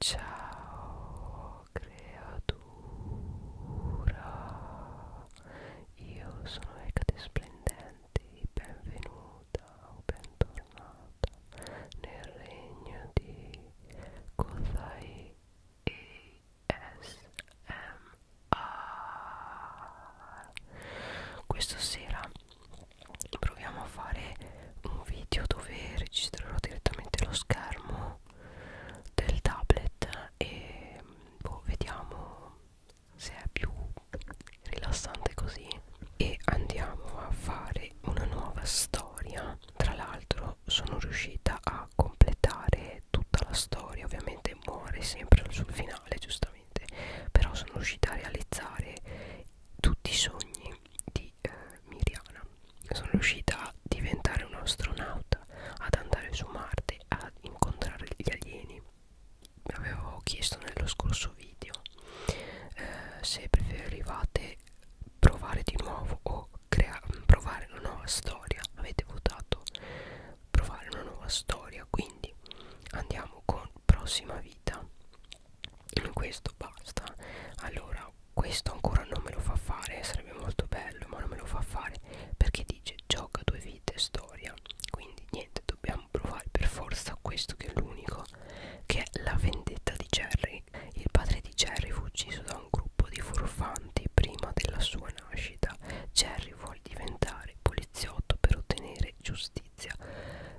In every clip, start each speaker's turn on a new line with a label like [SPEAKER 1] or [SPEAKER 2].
[SPEAKER 1] Ciao creatura, io sono Ecate Splendente, benvenuta o bentornata nel regno di Kozai ASMR. Questa sera proviamo a fare un video dove registrerò direttamente lo schermo del tablet e boh, vediamo se è più rilassante così e andiamo a fare una nuova storia tra l'altro sono riuscita a completare tutta la storia ovviamente muore sempre sul finale giustamente però sono riuscita a realizzare tutti i sogni di eh, Miriana sono riuscita a diventare un astronauta ad andare su Marte a incontrare gli alieni mi avevo chiesto nello scorso video eh, se preferivate provare di nuovo o provare una nuova storia avete votato provare una nuova storia quindi andiamo con prossima vita questo basta allora questo ancora non me lo fa fare sarebbe molto bello ma non me lo fa fare perché dice gioca due vite storia quindi niente dobbiamo provare per forza questo che è l'unico che è la vendetta di Jerry il padre di Jerry fu ucciso da un gruppo di furfanti prima della sua nascita Jerry vuole diventare poliziotto per ottenere giustizia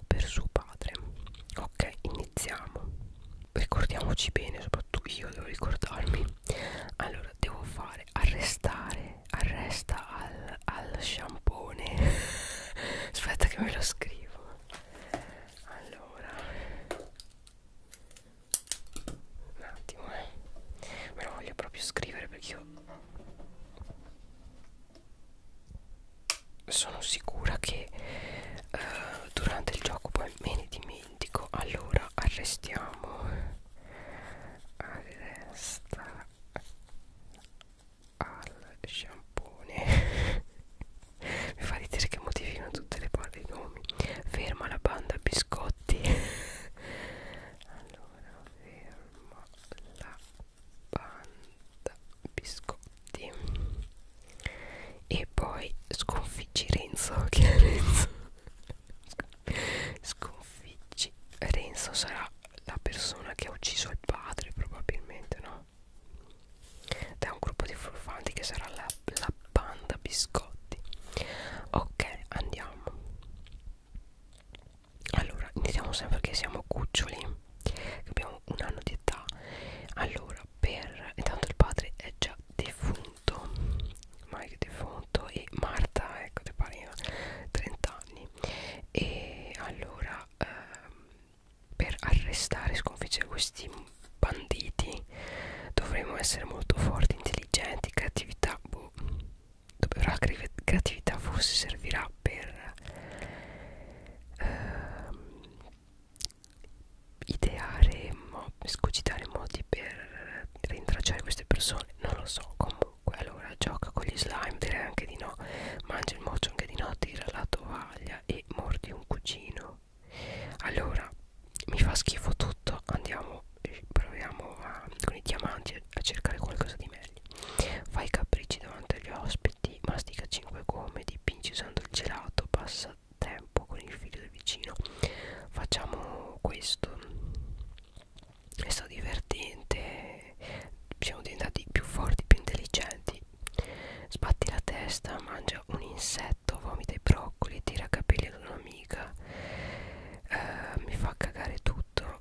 [SPEAKER 1] per suo padre ok iniziamo ricordiamoci bene soprattutto io devo ricordarmi allora devo fare arrestare arresta al, al sciampone aspetta che me lo scrivo allora un attimo eh. me lo voglio proprio scrivere perché io sono sicura che eh, durante il gioco poi me ne dimentico allora arrestiamo arresta al sciampone mi fa ridere che modificano tutte le parti i nomi ferma la banda biscotti allora ferma la banda biscotti sì. E poi sconfiggi Renzo, che è Renzo. Sconfiggi Renzo sarà la persona che ha ucciso il padre, probabilmente, no? Da un gruppo di furfanti che sarà la, la banda biscotti. Ok, andiamo. Allora, iniziamo sempre che siamo cuccioli, che abbiamo un anno di età. Allora, per intanto il padre è già defunto Mike defunto e Marta ecco ti pareva 30 anni e allora ehm, per arrestare e sconfiggere questi banditi dovremmo essere molto forti intelligenti creatività boh, la creatività forse servirà per ehm, ideare, mo escogitare modi per rintracciare queste persone, non lo so comunque, allora gioca con gli slime, direi anche di no, mangia il mocio anche di no, tira la tovaglia e mordi un cugino. Allora, mi fa schifo tutto, andiamo, eh, proviamo a, con i diamanti a cercare qualcosa di meglio. Fai capricci davanti agli ospiti, mastica 5 gomme, dipingi usando il gelato, passa tempo con il figlio del vicino facciamo questo è stato divertente siamo diventati più forti più intelligenti sbatti la testa mangia un insetto vomita i broccoli tira capelli ad un'amica eh, mi fa cagare tutto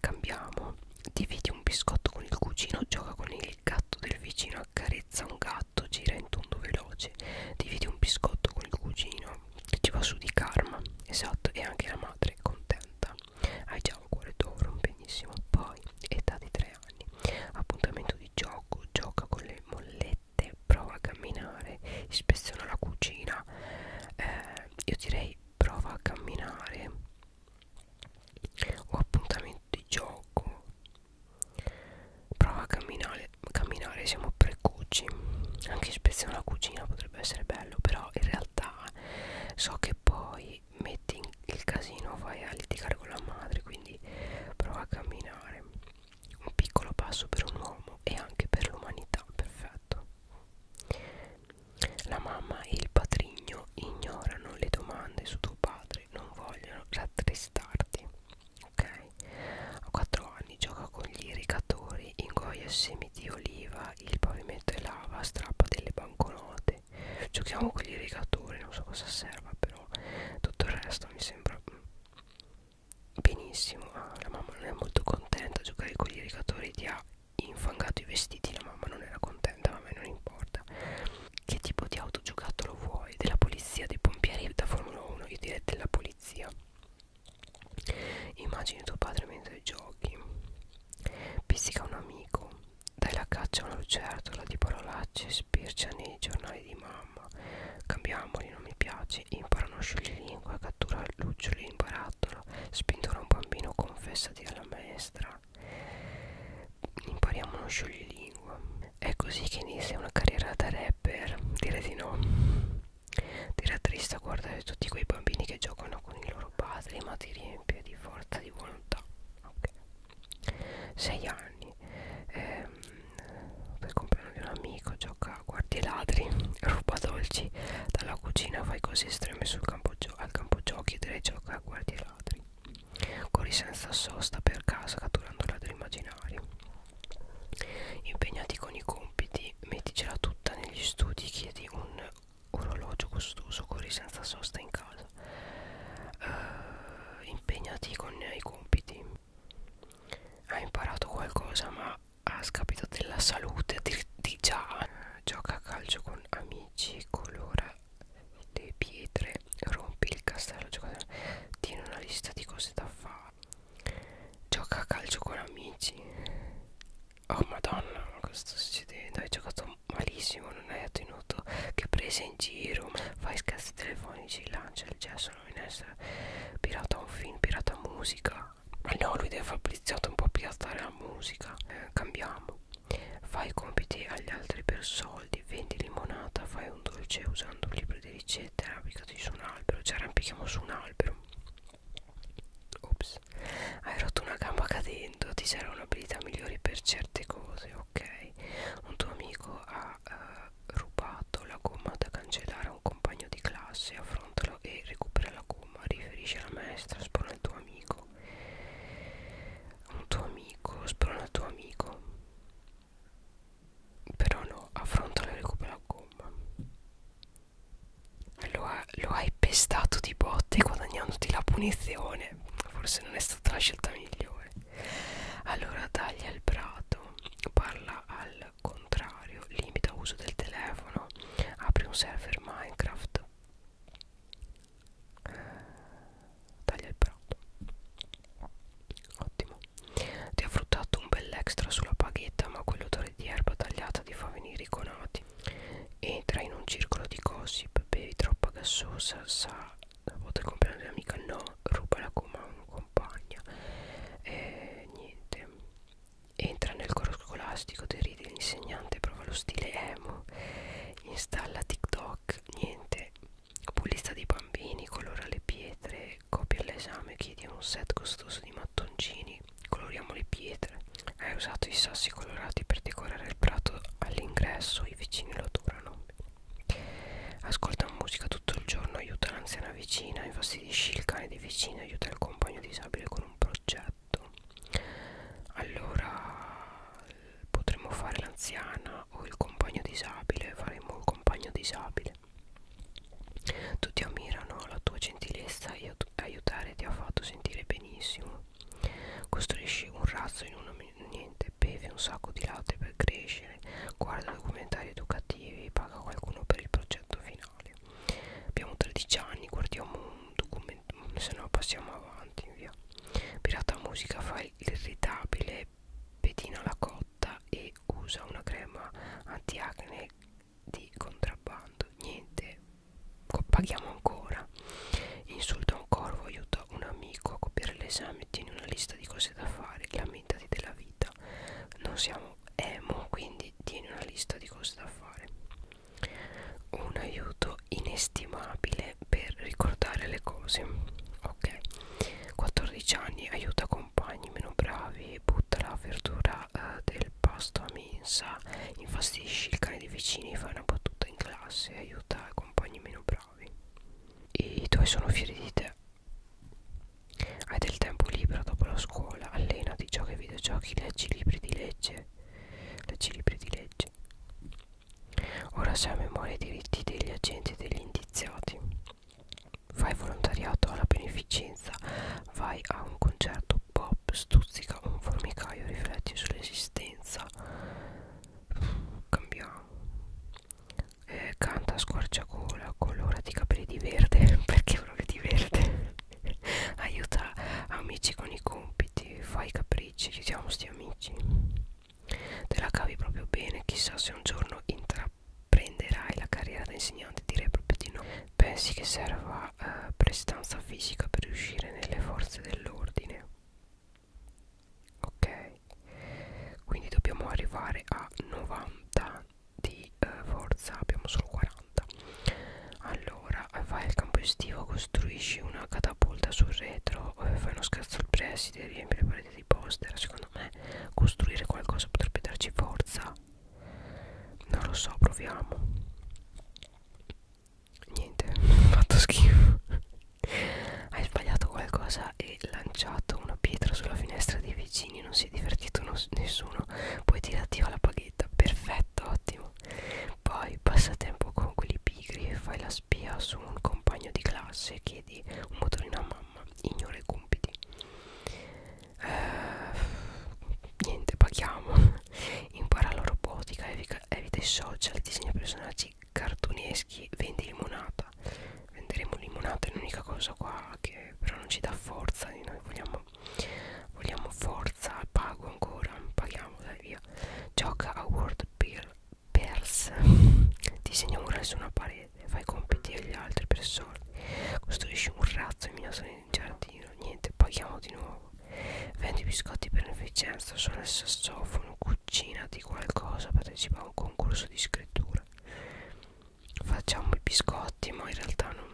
[SPEAKER 1] cambiamo dividi un biscotto con il cugino gioca con il gatto del vicino a carezza un gatto, gira in tondo veloce, dividi un biscotto con il cugino, che ci va su di karma, esatto, e anche la madre è contenta. Hai già un cuore d'oro, benissimo. Poi, età di tre anni, appuntamento di gioco, gioca con le mollette, prova a camminare, ispeziona la cucina. Eh, io direi prova a camminare o appuntamento di gioco Prova a camminare, camminare siamo precoci. Anche ispezione alla cucina potrebbe essere bello, però in realtà so che poi metti il casino, vai a litigare con la madre, quindi prova a camminare. Un piccolo passo per un uomo e anche per l'umanità, perfetto. La mamma e il patrigno ignorano le domande su tuo padre, non vogliono a tristarti ok a 4 anni gioca con gli irrigatori ingoia semi di oliva il pavimento è lava strappa delle banconote giochiamo con gli irrigatori non so cosa serva però tutto il resto mi sembra benissimo ah, la mamma non è molto contenta giocare con gli irrigatori ti ha infangato i vestiti la mamma non era contenta ma a me non importa volta che tipo di autogiocattolo vuoi? della polizia, dei pompieri da Formula 1 io direi della polizia immagini tuo padre mentre giochi pizzica un amico dai la caccia a una lucertola di parolacce spircia nei giornali di mamma cambiamoli non mi piace imparano a scioglilingua cattura luccioli in barattolo spintora un bambino confessati alla maestra impariamo uno scioglilingua. È così che inizia una carriera da rapper? Direi di no. Tira triste guardare tutti quei bambini che giocano con i loro padri, ma ti riempie di forza di volontà. Okay. Sei anni. Ehm, per compagno di un amico gioca a guardie ladri, ruba dolci dalla cucina, fai cose estreme sul campo al campo giochi, direi gioca a guardie ladri corri senza sosta per casa catturando ladri immaginari impegnati con i compiti metticela tutta negli studi chiedi un orologio costoso corri senza sosta in casa uh, impegnati con i compiti ha imparato qualcosa ma ha scapito della salute di, di già gioca a calcio con amici colora le pietre rompi il castello giocatore tieni una lista di cose da fare gioca a calcio con amici oh madonna cosa sta succedendo hai giocato malissimo non hai ottenuto che presa in giro fai scazzi telefonici lancia il gesso in essere pirata un film pirata musica ma no lui deve Fabriziato un po' piazzare la musica eh, cambiamo fai compiti agli altri persone soldi vendi limonata fai un dolce usando un libro di ricette arrampicati su un albero ci arrampichiamo su un albero ops hai rotto una gamba cadendo ti servono abilità migliori per certe cose ok un tuo amico ha uh, rubato la gomma da cancellare a un compagno di classe affrontalo e recupera la gomma riferisce alla maestra sprona il tuo amico un tuo amico sprona il tuo amico però no, affronta le recupera la gomma lo, ha, lo hai pestato di botte guadagnandoti la punizione Forse non è stata la scelta migliore Allora taglia il prato Parla al contrario Limita uso del telefono Apri un server Minecraft taglia il prato ottimo ti ha fruttato un bel extra sulla paghetta ma quell'odore di erba tagliata ti fa venire i conati entra in un circolo di gossip bevi troppa gassosa sa la volta il compleanno dell'amica no ruba la comando compagna e eh, niente entra nel coro scolastico deride l'insegnante prova lo stile emo installa tiktok niente Pulizza dei bambini, colora le pietre, copia l'esame, chiedi un set costoso di mattoncini, coloriamo le pietre. Hai usato i sassi colorati per decorare il prato all'ingresso, i vicini lo adorano. Ascolta musica tutto il giorno, aiuta l'anziana vicina, infastidisci il cane di vicino, aiuta il compagno disabile con un progetto. Allora potremmo fare l'anziana o il compagno disabile faremo un compagno disabile tutti ammirano la tua gentilezza e aiutare ti ha fatto sentire benissimo costruisci un razzo in un niente bevi un sacco di latte per crescere guarda documentari educativi paga qualcuno per il progetto finale abbiamo 13 anni guardiamo un documento se no passiamo avanti via pirata musica fa irritabile pedina la cotta e usa una crema antiacne di contrabbando niente paghiamo ancora insulta un corvo aiuta un amico a copiare l'esame tieni una lista di cose da fare lamentati della vita non siamo emo quindi tieni una lista di cose da fare un aiuto inestimabile bene per ricordare le cose ok 14 anni aiuta compagni meno bravi butta la verdura eh, del pasto a mensa infastidisci il cane dei vicini fai una battuta in classe aiuta compagni meno bravi i tuoi sono fieri di te hai del tempo libero dopo la scuola allenati giochi ai videogiochi leggi libri di legge leggi libri di legge Ora sei a memoria i diritti degli agenti e degli indiziati. Fai volontariato alla beneficenza, vai a un concerto pop, stuzzica un formicaio, rifletti sull'esistenza. Cambiamo. Eh, canta a squarciagola, colora di capelli di verde, perché proprio di verde. Aiuta amici con i compiti, fai capricci, aiutiamo sti amici te la cavi proprio bene chissà se un giorno intraprenderai la carriera da insegnante direi proprio di no pensi che serva eh, prestanza fisica per riuscire nelle forze dell'ordine ok quindi dobbiamo arrivare a 90 di eh, forza abbiamo solo 40 allora vai al campo estivo costruisci una catapulta sul retro eh, fai uno scazzo al preside riempi le pareti di poster secondo me costruire qualcosa potrebbe darci forza non lo so proviamo niente fatto schifo hai sbagliato qualcosa e lanciato una pietra sulla finestra dei vicini non si è divertito no nessuno poi ti attiva la paghetta perfetto ottimo poi passa tempo con quelli pigri e fai la spia su un compagno di classe chiedi un motorino a mamma ignora i compiti eh, niente paghiamo impara la robotica evita i social disegna personaggi cartuneschi vendi limonata venderemo limonata è l'unica cosa qua che però non ci dà forza noi vogliamo vogliamo forza pago ancora paghiamo dai via gioca a world beer persa disegna un murale su una parete fai compiti agli altri persone costruisci un razzo in minazione in giardino niente paghiamo di nuovo vendi biscotti per beneficenza suona il sassofono cucina di qualcosa partecipa a un concorso di scrittura facciamo i biscotti ma in realtà non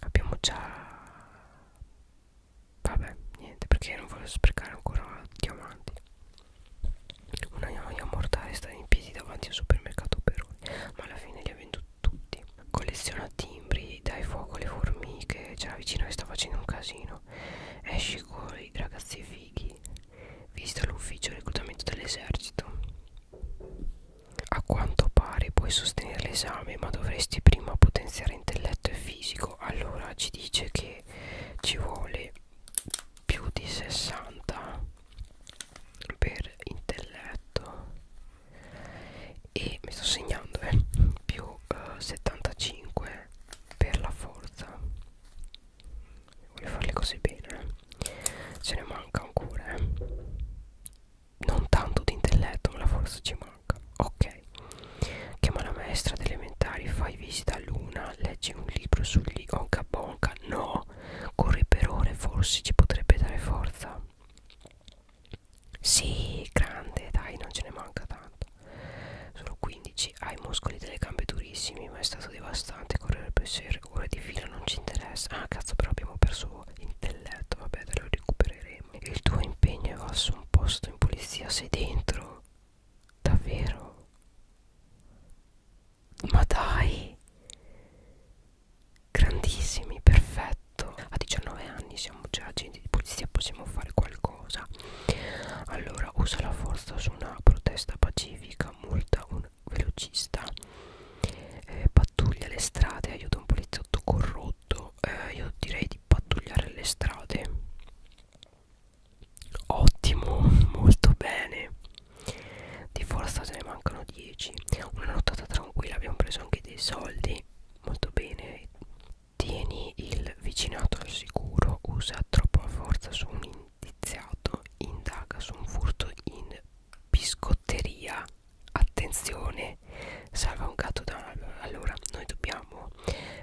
[SPEAKER 1] abbiamo già vabbè niente perché non voglio sprecare ancora diamanti una noia mortale stare in piedi davanti al supermercato Peroni ma alla fine li ha venduti tutti colleziona timbri dai fuoco alle formiche c'è la vicina che sta facendo un casino esci con i ragazzi fighi vista l'ufficio reclutamento dell'esercito a quanto pare puoi sostenere l'esame ma dovresti prima potenziare intelletto e fisico allora ci dice che che ci vuole più di 60 per intelletto e mi sto segnando eh, più eh, 75 per la forza voglio farle così bene ce eh. ne manca ancora eh. non tanto di intelletto ma la forza ci manca ok ok chiama la maestra delle elementari fai visita a luna leggi un libro sugli onca bonca no corri per ore forse ci potrebbe dare forza sì grande dai non ce ne manca tanto sono 15 ha i muscoli delle gambe durissimi ma è stato devastante correre per 6 ore di fila non ci interessa ah cazzo però abbiamo perso intelletto vabbè te lo recupereremo il tuo impegno è vasso un posto in polizia sei dentro Davvero? Ma dai! Grandissimi, perfetto. A 19 anni siamo già agenti di polizia, possiamo fare qualcosa. Allora, usa la forza su una protesta pacifica, multa un velocista, eh, pattuglia le strade, aiuta un poliziotto corrotto. Eh, io direi di pattugliare le strade. Ottimo, molto bene. Di forza ce ne mancano 10. Una nottata tranquilla, abbiamo preso anche dei soldi. Molto bene. Tieni il vicinato al sicuro, usa troppa forza su un indiziato, indaga su un furto in biscotteria. Attenzione, salva un gatto da un albero. Allora, noi dobbiamo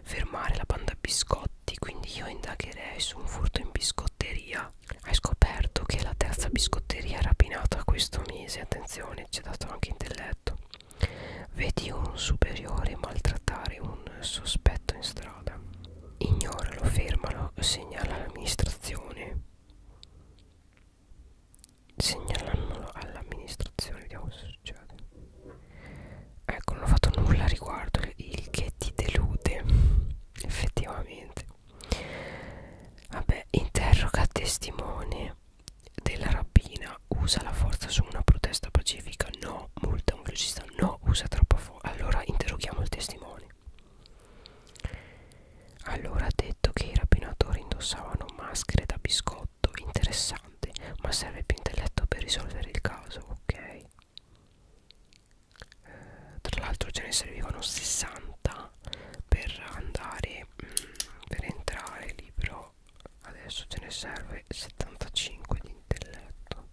[SPEAKER 1] fermare la banda biscotti quindi io indagherei su un furto in biscotteria hai scoperto che la terza biscotteria rapinata questo mese attenzione ci è dato anche intelletto vedi un superiore maltrattare un sospetto in strada ignoralo fermalo segnala all'amministrazione segnalandolo all'amministrazione vediamo se succede ecco non ho fatto nulla a riguardo il che ti delude effettivamente vabbè interroga testimone della rapina usa la forza su una protesta pacifica no multa un velocista no usa troppa forza allora interroghiamo il testimone allora ha detto che i rapinatori indossavano maschere da biscotto interessante ma serve più intelletto per risolvere il caso ok eh, tra l'altro ce ne servivano 60 per andare mh, mm, per entrare lì però adesso ce ne serve 75 di intelletto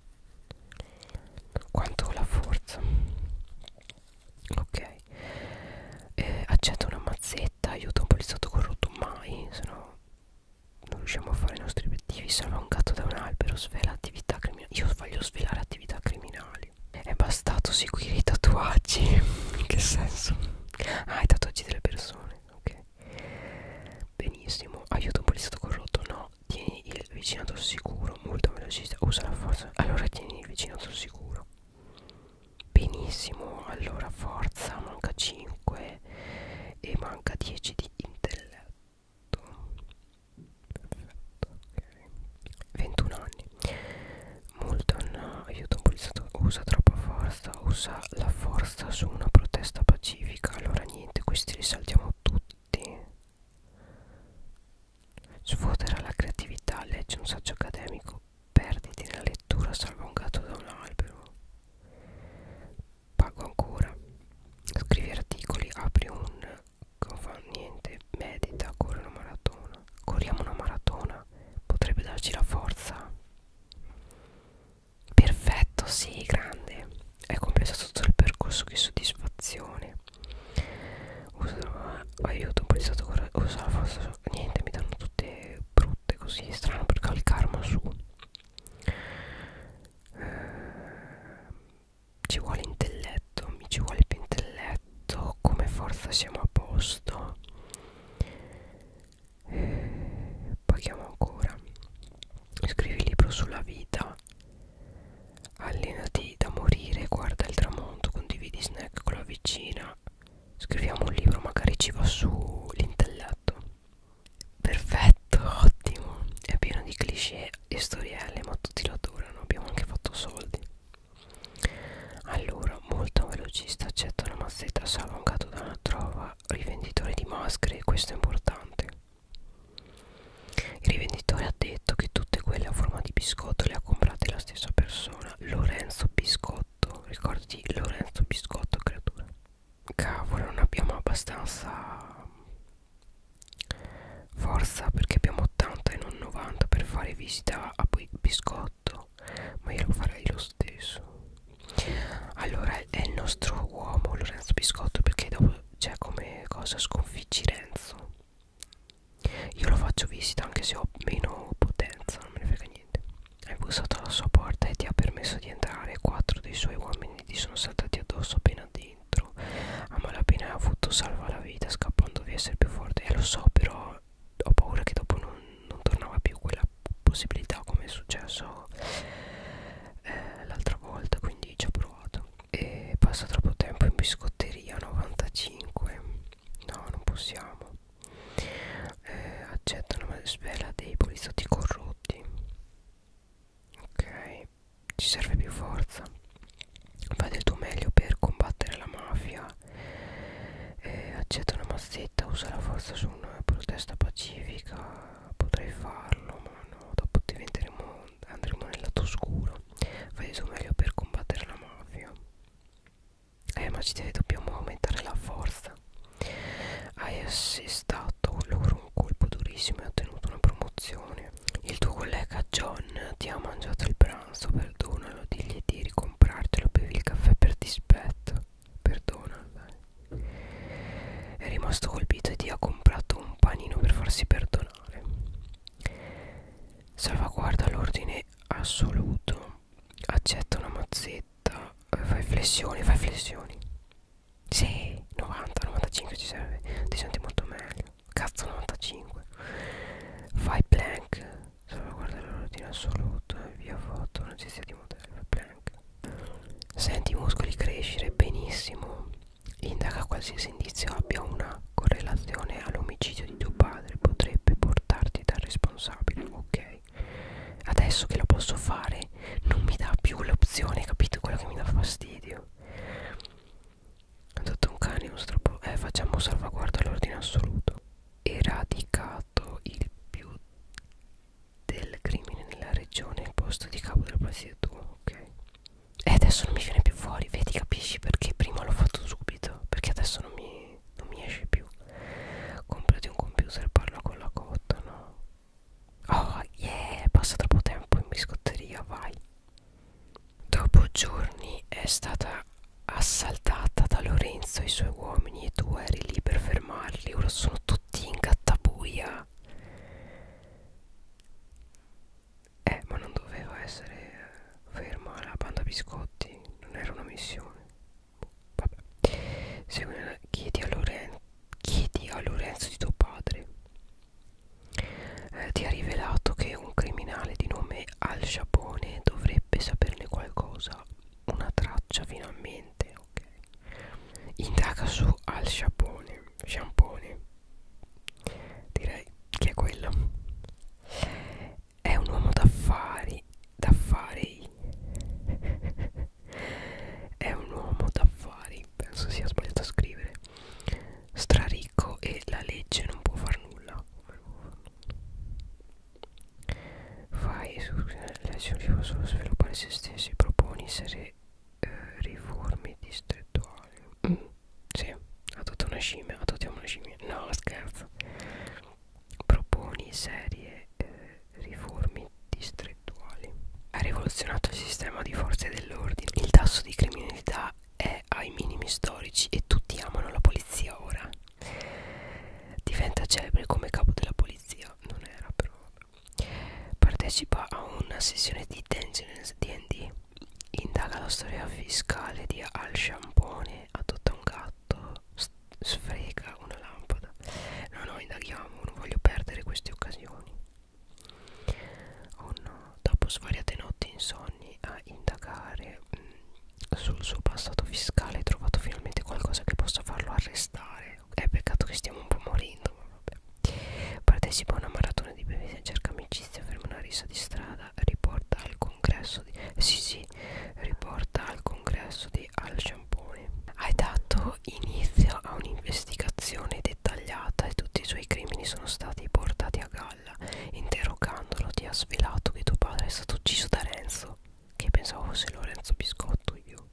[SPEAKER 1] quanto la forza ok eh, accetta una mazzetta aiuta un poliziotto corrotto mai se no non riusciamo a fare i nostri obiettivi salva un gatto da un albero svela attività criminali io voglio svelare attività criminali è bastato seguire i tatuaggi in che senso ah i tatuaggi delle persone ok benissimo aiuto un poliziotto corrotto no tieni il vicinato sicuro molto velocista usa la forza allora tieni il vicinato sicuro benissimo allora forza manca 5 e manca 10 di intelletto perfetto perfetto ok 21 anni Moulton aiuta un poliziotto usa troppa forza usa la forza su una protesta pacifica allora niente questi li saltiamo tutti sfodera la creatività legge un saggio accademico perditi nella lettura salva un gatto da un albero pago ancora scrivi articoli apri un non fa niente medita corre una maratona corriamo una maratona potrebbe darci la forza perfetto sì grande è compensato tutto il percorso che soddisfazione usa ah, la, aiuto un stato usa la forza niente mi danno tutte brutte così strano perché ho il karma su eh, ci vuole intelletto mi ci vuole più intelletto come forza siamo a posto eh, poi chiamo ancora scrivi libro sulla vita allenati da morire guarda il tramonto condividi snack con la vicina scriviamo un libro magari ci va su l'intelletto perfetto ottimo è pieno di cliché e storielle ma tutti lo adorano abbiamo anche fatto soldi allora molto velocista accetta una mazzetta salongato da una trova rivenditore di maschere questo è importante il rivenditore ha detto che tutte quelle a forma di biscotto le ha comprate la stessa persona Lorenzo Biscotto ricordi Lorenzo Biscotto creatura cavolo non abbiamo abbastanza forza perché abbiamo 80 e non 90 per fare visita a biscotto ma io lo farei lo stesso allora è il nostro uomo Lorenzo Biscotto perché dopo c'è come cosa sconfiggi Renzo io lo faccio visita anche se ho meno potenza non me ne frega niente hai bussato alla sua porta e ti ha permesso di entrare quattro dei suoi uomini gli sono saltati addosso appena dentro. A malapena ha avuto salva la vita scappando via a essere più forte. E eh, lo so, però ho paura che dopo non, non tornava più quella possibilità come è successo eh, l'altra volta. Quindi ci ho provato. E passa troppo tempo in biscotteria 95. No, non possiamo. Eh, accettano la spella dei poliziotti corrotti ok ci serve più forza fai del tuo meglio per combattere la mafia eh, accetta una mazzetta usa la forza su una protesta pacifica potrei farlo ma no dopo diventeremo andremo nel lato oscuro fai del tuo meglio per combattere la mafia eh ma ci dobbiamo aumentare la forza hai assestato loro un colpo durissimo e ottenuto una promozione il tuo collega John ti ha mangiato il pranzo perdonalo digli di ricomprartelo bevi il caffè per dispetto perdonalo è rimasto colpito e ti ha comprato un panino per farsi perdonare salvaguarda l'ordine assoluto accetta una mazzetta fai flessioni fai flessioni sì, 90, 95 ci serve, ti senti molto meglio. Cazzo 95. Fai plank, solo guardare la routine assoluta, via foto, non ci sia di modello, fai plank. Senti i muscoli crescere benissimo. Indaga qualsiasi indizio abbia una correlazione all'omicidio di tuo padre, potrebbe portarti dal responsabile, ok? Adesso che lo posso fare fare non mi dà più l'opzione capito quello che mi dà fastidio ho dato un cane uno stroppo eh facciamo salvaguarda all'ordine assoluto eradicato il più del crimine nella regione il posto di capo della presidenza ok e adesso non mi viene più fuori vedi capisci perché prima l'ho fatto subito perché adesso non mi non mi esce più comprati un computer parla con la cotta no Oh yeah, passa troppo tempo in biscotteria, vai. Dopo giorni è stata assaltata da Lorenzo e i suoi uomini e tu eri lì per fermarli, ora sono tutti in gattabuia. Eh, ma non doveva essere eh, ferma la banda biscotti, non era una missione. Boh, vabbè. Segui, chiedi a Lorenzo chiedi a Lorenzo di tuo padre eh, ti ha rivelato che un criminale di nome Al Sciapone dovrebbe saperne qualcosa una traccia finalmente ok indaga su Al Sciapone Sciampone direi che è quello è un uomo d'affari d'affari È un uomo d'affari, penso sia sbagliato a scrivere. Straricco e la legge non può far nulla. Fai l'azione solo sviluppare se stessi, proponi essere eh, riforme distrettuali. Mm, sì, adottiamo una scimmia, adottiamo una scimmia. No, scherzo. Proponi serie eh, riforme distrettuali. Ha rivoluzionato il sistema di forze dell'ordine. Il tasso di criminalità è ai minimi storici e tutti amano la polizia ora. Diventa celebre come capo della polizia, non era però. Partecipa a una sessione di Dungeons D&D. Indaga la storia fiscale di Al Sciampone, adotta un gatto, sfrega una lampada. No, no, indaghiamo, non voglio perdere queste occasioni emozioni. Oh no, dopo svariate notti insonni a indagare mh, mm, sul suo passato fiscale, ha trovato finalmente qualcosa che possa farlo arrestare. È peccato che stiamo un po' morendo, ma vabbè. Partecipa a una maratona di bevande, cerca amicizia, ferma una risa di strada, riporta al congresso di... Sì, sì, riporta al congresso di al sciampone. Hai dato inizio a un'investigazione dettagliata e tutti i suoi crimini sono stati portati a galla. Interrogandolo ti ha svelato che tuo padre è stato ucciso da Renzo, che pensavo fosse Lorenzo Biscotto io.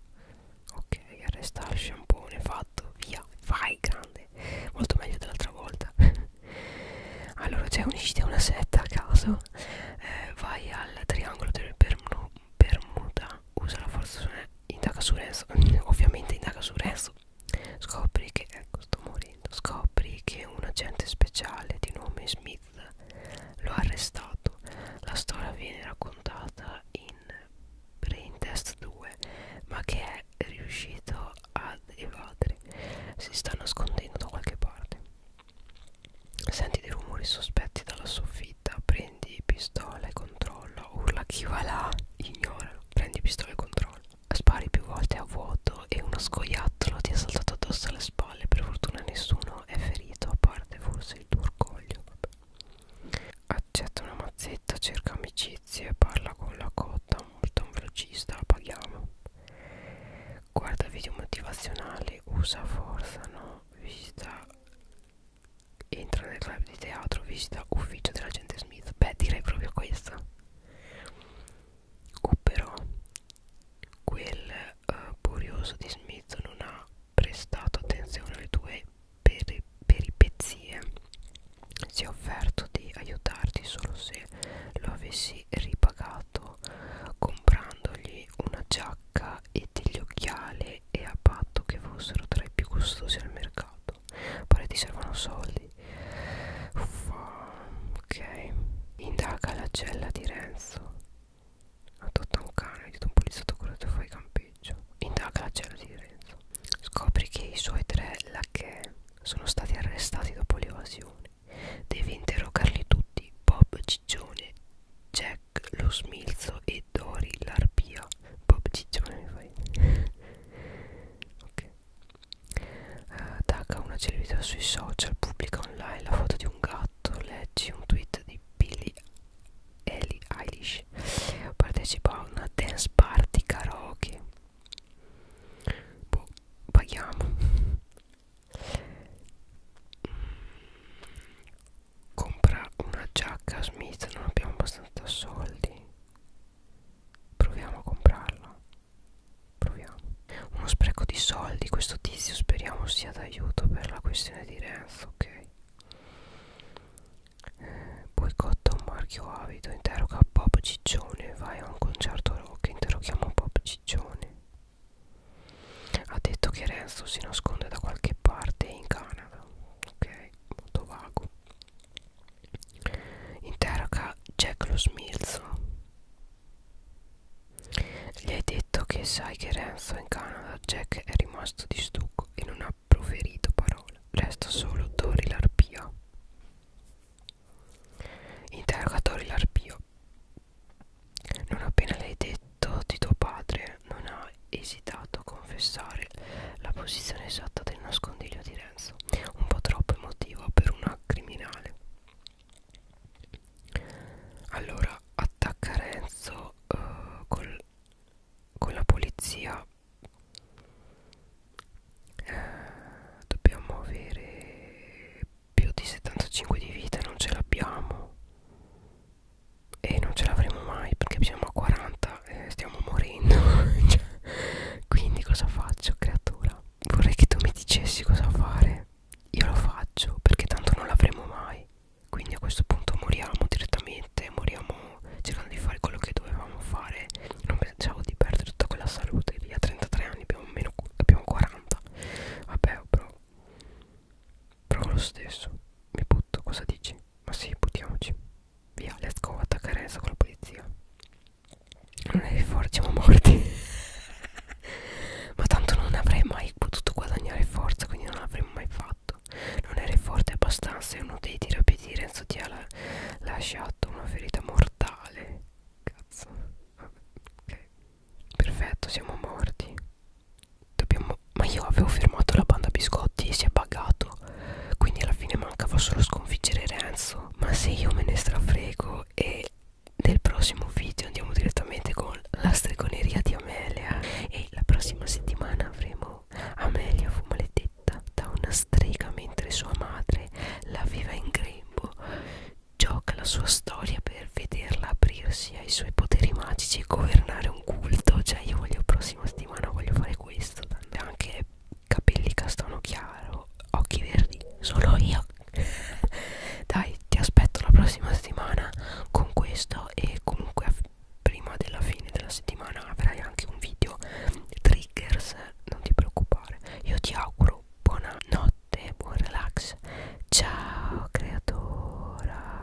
[SPEAKER 1] Ok, arresta il sciampone, fatto, via, vai grande, molto meglio dell'altra volta. allora, cioè unisciti a una setta a caso, eh, vai al triangolo del Bermuda Bermuda usa la forza su indaga su Renzo ovviamente indaga su Renzo scopri che ecco sto morendo scopri che un agente speciale di nome Smith lo ha arrestato la storia viene raccontata in Braintest 2 ma che è riuscito ad evadere si sta nascondendo da qualche parte senti dei rumori sospetti dalla soffia vita prendi pistola e controlla urla chi va là ignoralo prendi pistola e controlla spari più volte a vuoto e uno scoiattolo ti è saltato addosso alle spalle per fortuna nessuno è ferito a parte forse il tuo orgoglio Vabbè. accetta una mazzetta cerca amicizie parla con la cotta multa un velocista la paghiamo guarda video motivazionali usa forza no visita Entra nel club di teatro, visita ufficio dell'agente Smith. Beh, direi proprio questa. O uh, però quel uh, eh, curioso di Smith non ha prestato attenzione alle tue peri peripezie. Si è offerto di aiutarti solo se lo avessi ripagato comprandogli una giacca maglietta e degli occhiali e a patto che fossero tra i più costosi al mercato. Pare ti servono soldi. Uffa, ok. Indaga la cella di Renzo. Adotta un cane, di un poliziotto curato e fai campeggio. Indaga la cella di Renzo. Scopri che i suoi tre lacchè sono stati arrestati dopo l'evasione. Devi interrogarli tutti, Bob Ciccione, Jack Jack lo smilzo e Dori l'arpia Bob Ciccione mi fai ok uh, eh, Daga una celebrità sui social pubblica online la foto di un gatto leggi un tweet di Billy Ellie Eilish partecipa a una dance party karaoke boh paghiamo compra una giacca a Smith non abbiamo abbastanza soldi proviamo a comprarla proviamo uno spreco di soldi questo tizio speriamo sia d'aiuto per la questione di Renzo ok eh, boicotta un marchio avido interroga Bob Ciccione vai a un concerto rock interroghiamo Bob Ciccione ha detto che Renzo si nasconde da qualche parte in Canada ok molto vago interroga Jack lo smilzo gli hai detto che sai che Renzo è in Canada Jack è rimasto di stucco e non ha proferito parole resta solo Tori l'arpia interroga Tori l'arpia non appena l'hai detto di tuo padre non ha ha esitato a confessare la posizione esatta del nascondiglio di Renzo, un po' troppo emotiva per una criminale. Allora attacca Renzo uh, col, con la polizia. Uh, dobbiamo avere più di 75 di vita, non ce l'abbiamo e non ce l'avremo mai perché siamo a 40 e stiamo morendo cioè, quindi cosa faccio creatura vorrei che tu mi dicessi cosa fare io lo faccio perché tanto non l'avremo mai quindi a questo punto moriamo direttamente moriamo cercando di fare quello che dovevamo fare non pensavo di perdere tutta quella salute lì a 33 anni abbiamo, meno, abbiamo 40 vabbè però provo lo stesso mi butto cosa dici ma sì, buttiamoci. Via, let's go, attaccare adesso con la polizia. Non è forti, siamo morti. Ma tanto non avrei mai potuto guadagnare forza, quindi non l'avremmo mai fatto. Non eri forte abbastanza e uno dei tirapiti Renzo ti ha la lasciato una ferita mortale. Cazzo. Ok. Perfetto, siamo morti. Dobbiamo... Ma io avevo fermato la banda biscotti e si è pagato. Quindi alla fine mancava solo sconfiggere Renzo. Ma se io me ne strafrego e nel prossimo video andiamo direttamente con la stregoneria di Amelia. E la prossima settimana avremo Amelia fu maledetta da una strega mentre sua madre la aveva in grembo. Gioca la sua storia per vederla aprirsi ai suoi poteri magici e governare un culto. Cioè io voglio prossima settimana settimana voglio fare questo tanto anche capelli castano chiaro occhi verdi solo io dai ti aspetto la prossima settimana con questo e comunque prima della fine della settimana avrai anche un video triggers non ti preoccupare io ti auguro buona notte buon relax ciao creatora